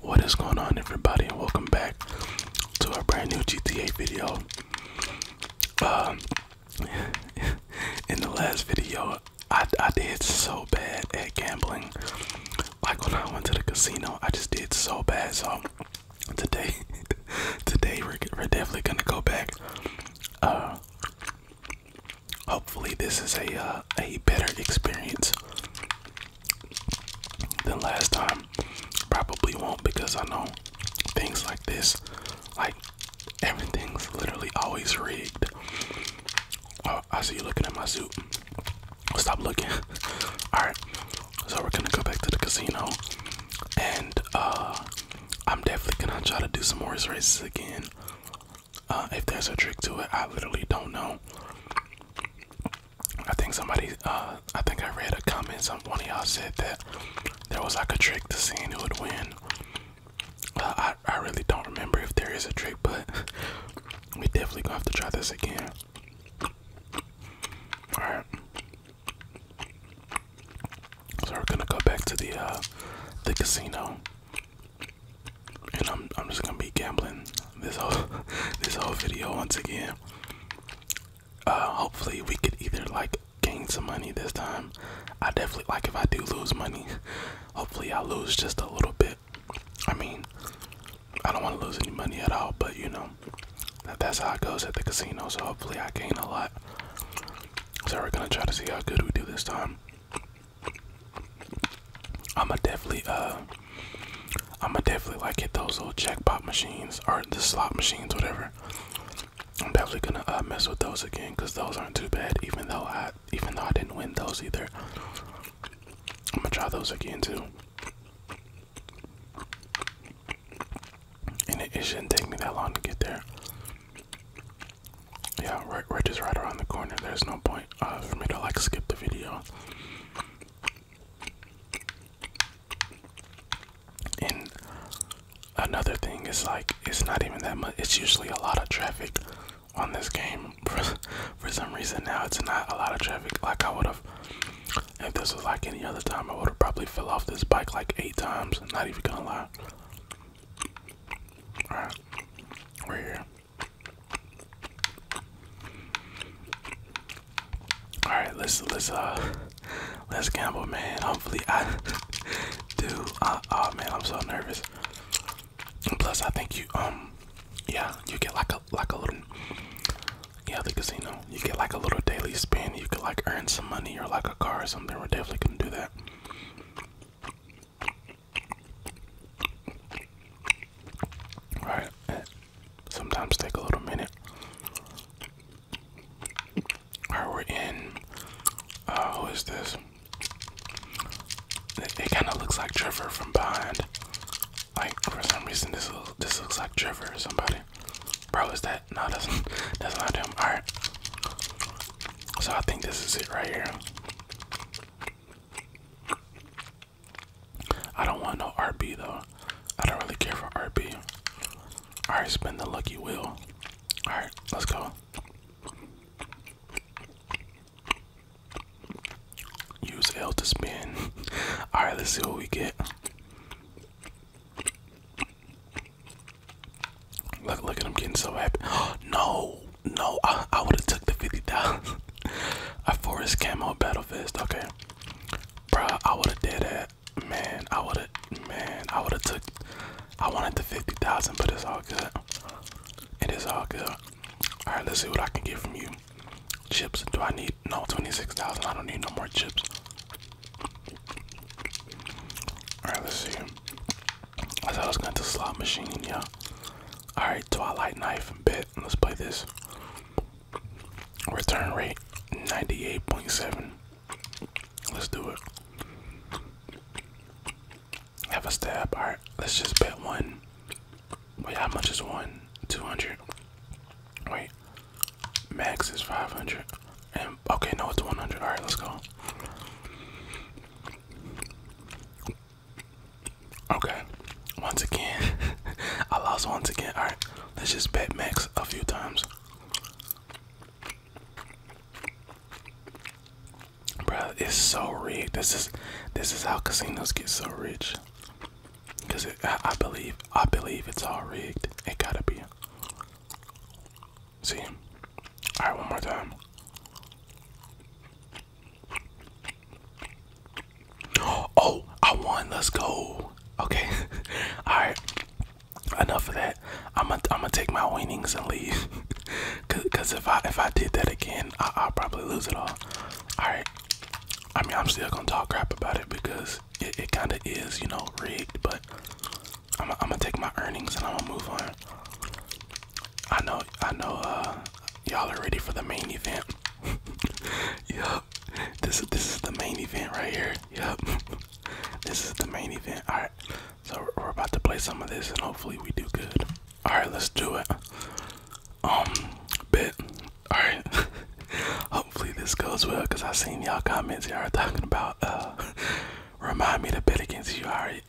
What is going on, everybody? Welcome back to our brand new GTA video. Um, in the last video, I, did so bad at gambling. Like when I went to the casino, I just did so bad. So today, today we're, definitely gonna go back. Uh, hopefully this is a uh, a better experience than last time. Probably won't because I know things like this, like everything's literally always rigged. Oh, I see you looking at my suit. Stop looking. All right, so we're gonna go back to the casino, and uh, I'm definitely gonna try to do some horse races again. Uh, if there's a trick to it, I literally don't know. I think somebody, uh, I think I read a comment. Some one of y'all said that there was like a trick to seeing who would win. Uh, I I really don't remember if there is a trick, but we definitely have to try this again. All right. So we're gonna go back to the the casino and I'm just gonna be gambling this whole this whole video once again. Uh, hopefully we could either like gain some money this time. I definitely like if I do lose money. Hopefully I lose just a little bit. I mean, I don't want to lose any money at all, but you know, that's how it goes at the casino. So hopefully I gain a lot. So we're gonna try to see how good we do this time. I'ma definitely uh I'ma definitely like hit those little jackpot machines or the slot machines, whatever. I'm definitely gonna uh, mess with those again because those aren't too bad. Even though I even though I didn't win those either, I'm gonna try those again too. And it shouldn't take me that long to get there. Yeah, we're, just right around the corner. There's no point uh, for me to like skip the video. And another thing is like, it's not even that much. It's usually a lot of traffic on this game. for some reason now, it's not a lot of traffic. Like I would have, if this was like any other time, I would have probably fell off this bike like eight times. Not even gonna lie. Alright, we're here. Alright, let's let's uh let's gamble man. Hopefully I do uh, oh man, I'm so nervous. plus I think you um yeah, you get like a like a little yeah, the casino. You get like a little daily spin. You could like earn some money or like a car or something. We're definitely gonna do that. Right, sometimes take a little minute. Alright, we're in. Uh, who is this? It, kind of looks like Trevor from behind. Like for some reason, this this looks like Trevor or somebody. Bro, is that no? That's that's not him. All right, so I think this is it right here. I don't want no RB though. I don't really care for RB. Alright, spin the lucky wheel. Alright, let's go. Use L to spin. Alright, let's see what we get. Look, look at him getting so happy. no, no, I, would have took the 50,000. I forest camo battle vest. Okay, bruh, I would have did that. Man, I would have, man, I would have took, I wanted the 50,000, but it's all good. It is all good. All right, let's see what I can get from you. Chips, do I need, no, 26,000. I don't need no more chips. Alright, let's see. I thought I was going to slot machine, yeah. Alright, Twilight Knife and Bet. Let's play this. Return rate 98.7. Let's do it. Have a stab. Alright, let's just bet one. Wait, how much is one? 200. Wait, max is 500. Okay, no, it's 100. All right, let's go. Okay, once again, I lost once again. All right, let's just bet max a few times. Bro, it's so rigged. This is this is how casinos get so rich. Cause I believe I believe it's all rigged. It gotta be. See? Alright, one more time. Oh, I won. Let's go. Okay. Alright. Enough of that. I'm gonna I'm gonna take my winnings and leave. Cause, Cause if I if I did that again, I, I'll probably lose it all. Alright. I mean, I'm still gonna talk crap about it because it, it kind of is, you know, rigged. But I'm, gonna take my earnings and I'm gonna move on. I know, I know, uh, y'all are ready for the main event. yep, this is this is the main event right here. Yep, this is the main event. All right, so we're, about to play some of this and hopefully we do good. All right, let's do it. Um, bet. All right, hopefully this goes well because I seen y'all comments y'all talking about uh, remind me to bet against you alright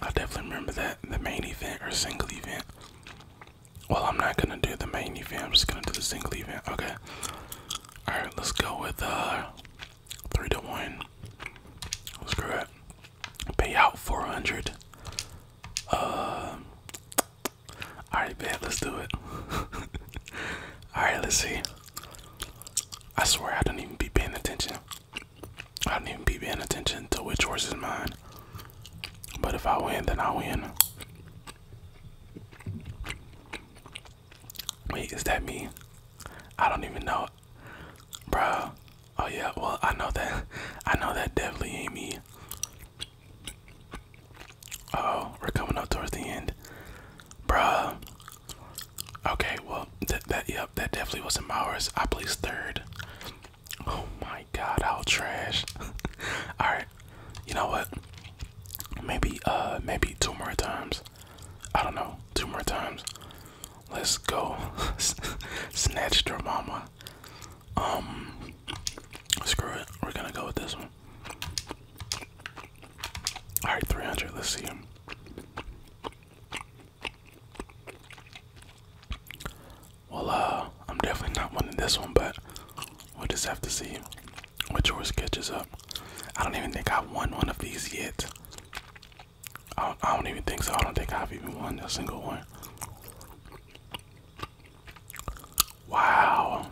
I definitely remember that the main event or single event well I'm not gonna do the main event I'm just gonna do the single event okay alright let's go with uh three to one screw it pay out 400 uh Alright, babe, let's do it. Alright, let's see. I swear I don't even be paying attention. I don't even be paying attention to which horse is mine. But if I win, then I win. Wait, is that me? I don't even know. bro. Oh yeah, well I know that I know that definitely ain't me. Oh, we're coming up towards the end. Bruh. Okay, well, that, that yep, that definitely wasn't my horse. I placed third. Oh my god, how trash. Alright. You know what? Maybe uh maybe two more times. I don't know, two more times. Let's go. Snatch your mama. Um Screw it. We're gonna go with this one. Alright, 300. Let's see him. Well, uh, I'm definitely not winning this one, but we'll just have to see what yours catches up. I don't even think I've won one of these yet. I don't, I don't even think so. I don't think I've even won a single one. Wow.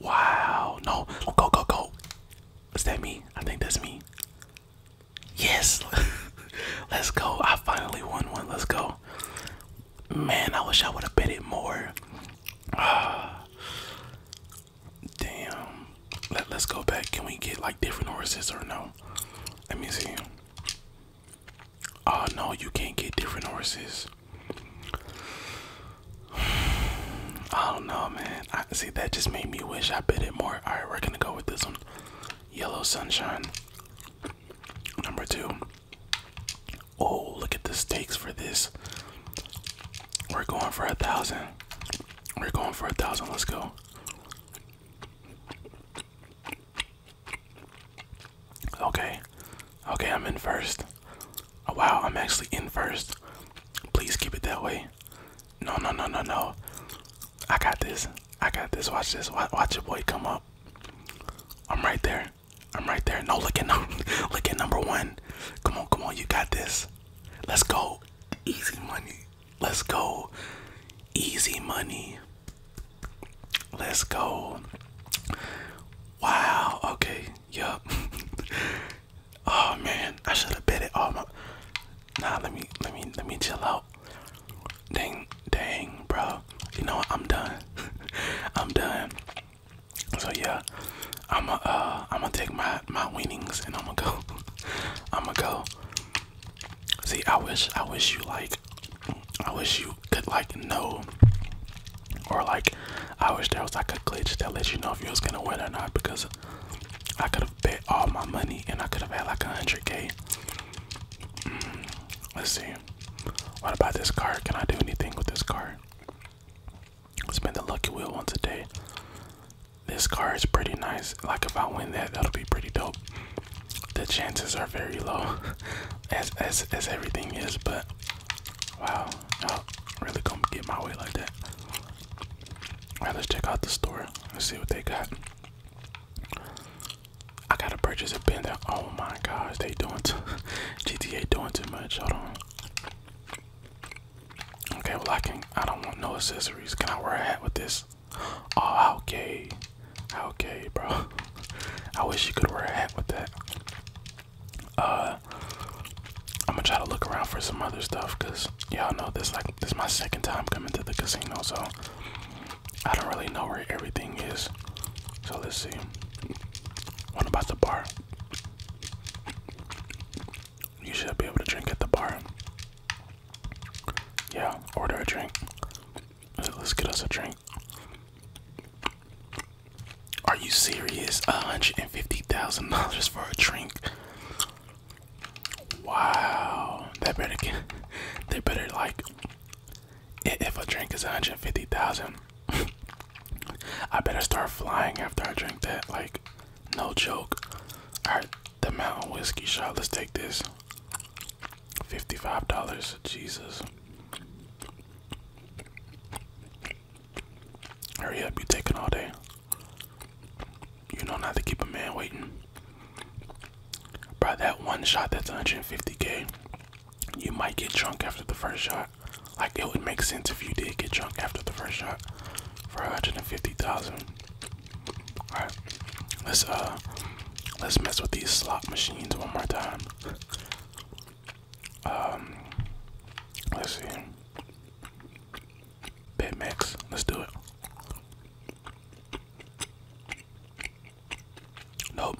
Wow. No. go, go, go. Is that me? I think that's me. Yes. Let's go. I finally won one. Let's go. Man, I wish I would have bet it more. damn. Let, let's go back. Can we get like different horses or no? Let me see. Oh no, you can't get different horses. I don't know, man. I see that just made me wish I bid it more. Alright, we're gonna go with this one. Yellow sunshine. Number two. Oh, look at the stakes for this. We're going for a thousand. We're going for a thousand. Let's go. Okay. Okay, I'm in first. Oh, wow, I'm actually in first. Please keep it that way. No, no, no, no, no. I got this. I got this. Watch this. Watch, watch your boy come up. I'm right there. I'm right there. No, looking. No number, look at number one. Come on, come on. You got this. Let's go. Easy money. Let's go. Easy money. Let's go. Wow. Okay. Yup. oh man, I should have bet it all. My... Nah, let me, let me, let me chill out. Ding, ding, bro. You know what? I'm done. I'm done. So yeah, I'm gonna, uh, I'm gonna take my my winnings and I'm gonna go. I'm gonna go. See, I wish, I wish you like, I wish you could like know, or like, I wish there was like a glitch that let you know if you was gonna win or not. Because I could have bet all my money and I could have had like a hundred k. Mm, let's see. What about this car? Can I do anything with this card? Spend the lucky wheel once a day. This car is pretty nice. Like if I win that, that'll be pretty dope the chances are very low, as as as everything is. But wow, y'all really gonna get my way like that. All right, let's check out the store. Let's see what they got. I gotta purchase a pen. oh my gosh, they doing too, GTA doing too much. Hold on. Okay, well I can. I don't want no accessories. Can I wear a hat with this? Oh, okay, okay, bro. I wish you could wear a hat with that. Uh, I'm gonna try to look around for some other stuff because y'all know this, like, this is my second time coming to the casino, so I don't really know where everything is. So let's see. What about the bar? You should be able to drink at the bar. Yeah, order a drink. Let's get us a drink. Are you serious? $150,000 for a drink. Wow. That better get they better like if a drink is 150,000 I better start flying after I drink that like no joke. Alright, the mountain whiskey shot, let's take this. $55. Jesus. Hurry up, you taking all day. You know not to keep a man waiting. By that one shot that's 150k, you might get drunk after the first shot. Like it would make sense if you did get drunk after the first shot for 150,000. All right, let's uh, let's mess with these slot machines one more time. Um, let's see. BitMEX, let's do it. Nope.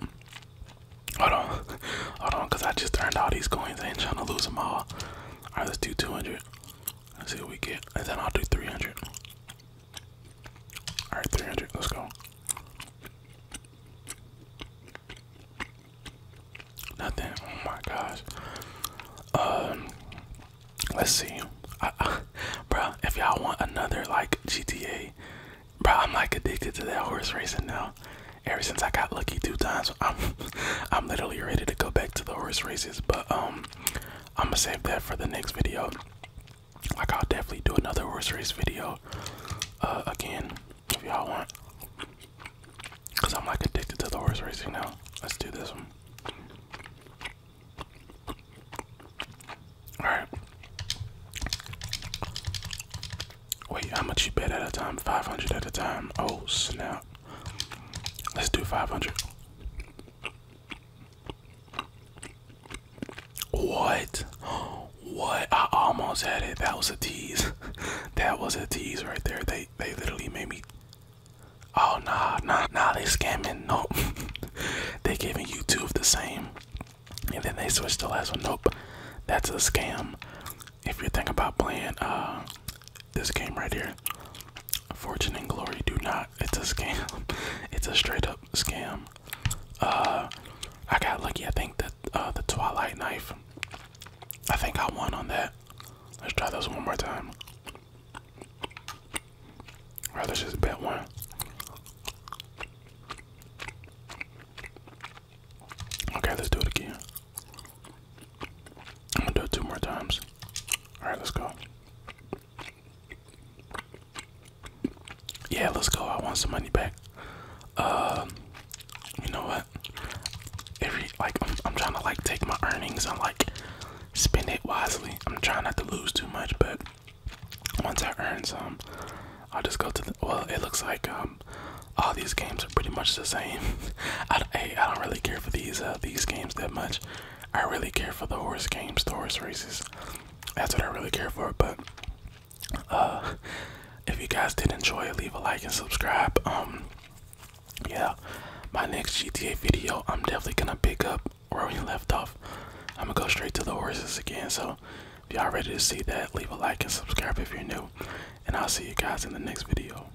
Hold on, hold on, cause I just earned all these coins. I ain't trying to lose them all. All right, let's do 200. Let's see what we get, and then I'll do 300. All right, 300. Let's go. Nothing. Oh my gosh. Um, let's see. I, bro, if y'all want another like GTA, bro, I'm like addicted to that horse racing now. Ever since I got lucky two times, I'm I'm literally ready to go back to the horse races. But um, I'm gonna save that for the next video. Like I'll definitely do another horse race video uh, again if y'all want, cause I'm like addicted to the horse racing now. Let's do this one. All right. Wait, how much you bet at a time? 500 at a time. Oh snap. Let's do 500. What? What? I almost had it. That was a tease. that was a tease right there. They they literally made me. Oh nah nah nah. They scamming. Nope. they giving you two of the same, and then they switched the last one. Nope. That's a scam. If you're thinking about playing uh this game right here, Fortune and Glory, do not. It's a scam. It's a straight up scam. Uh, I got lucky. I think that uh, the Twilight Knife. I think I won on that. Let's try this one more time. All right, let's just bet one. Okay, let's do it again. I'm gonna do it two more times. All right, let's go. Yeah, let's go. I want some money back. Um, you know what? Every like, I'm, trying to like take my earnings and like spend it wisely. I'm trying not to lose too much, but once I earn some, I'll just go to the. Well, it looks like um, all these games are pretty much the same. hey, I don't really care for these uh, these games that much. I really care for the horse games, the horse races. That's what I really care for. But uh, if you guys did enjoy, leave a like and subscribe. Um, yeah, my next GTA video, I'm definitely gonna pick up where we left off. I'm gonna go straight to the horses again. So if y'all ready to see that, leave a like and subscribe if you're new. And I'll see you guys in the next video.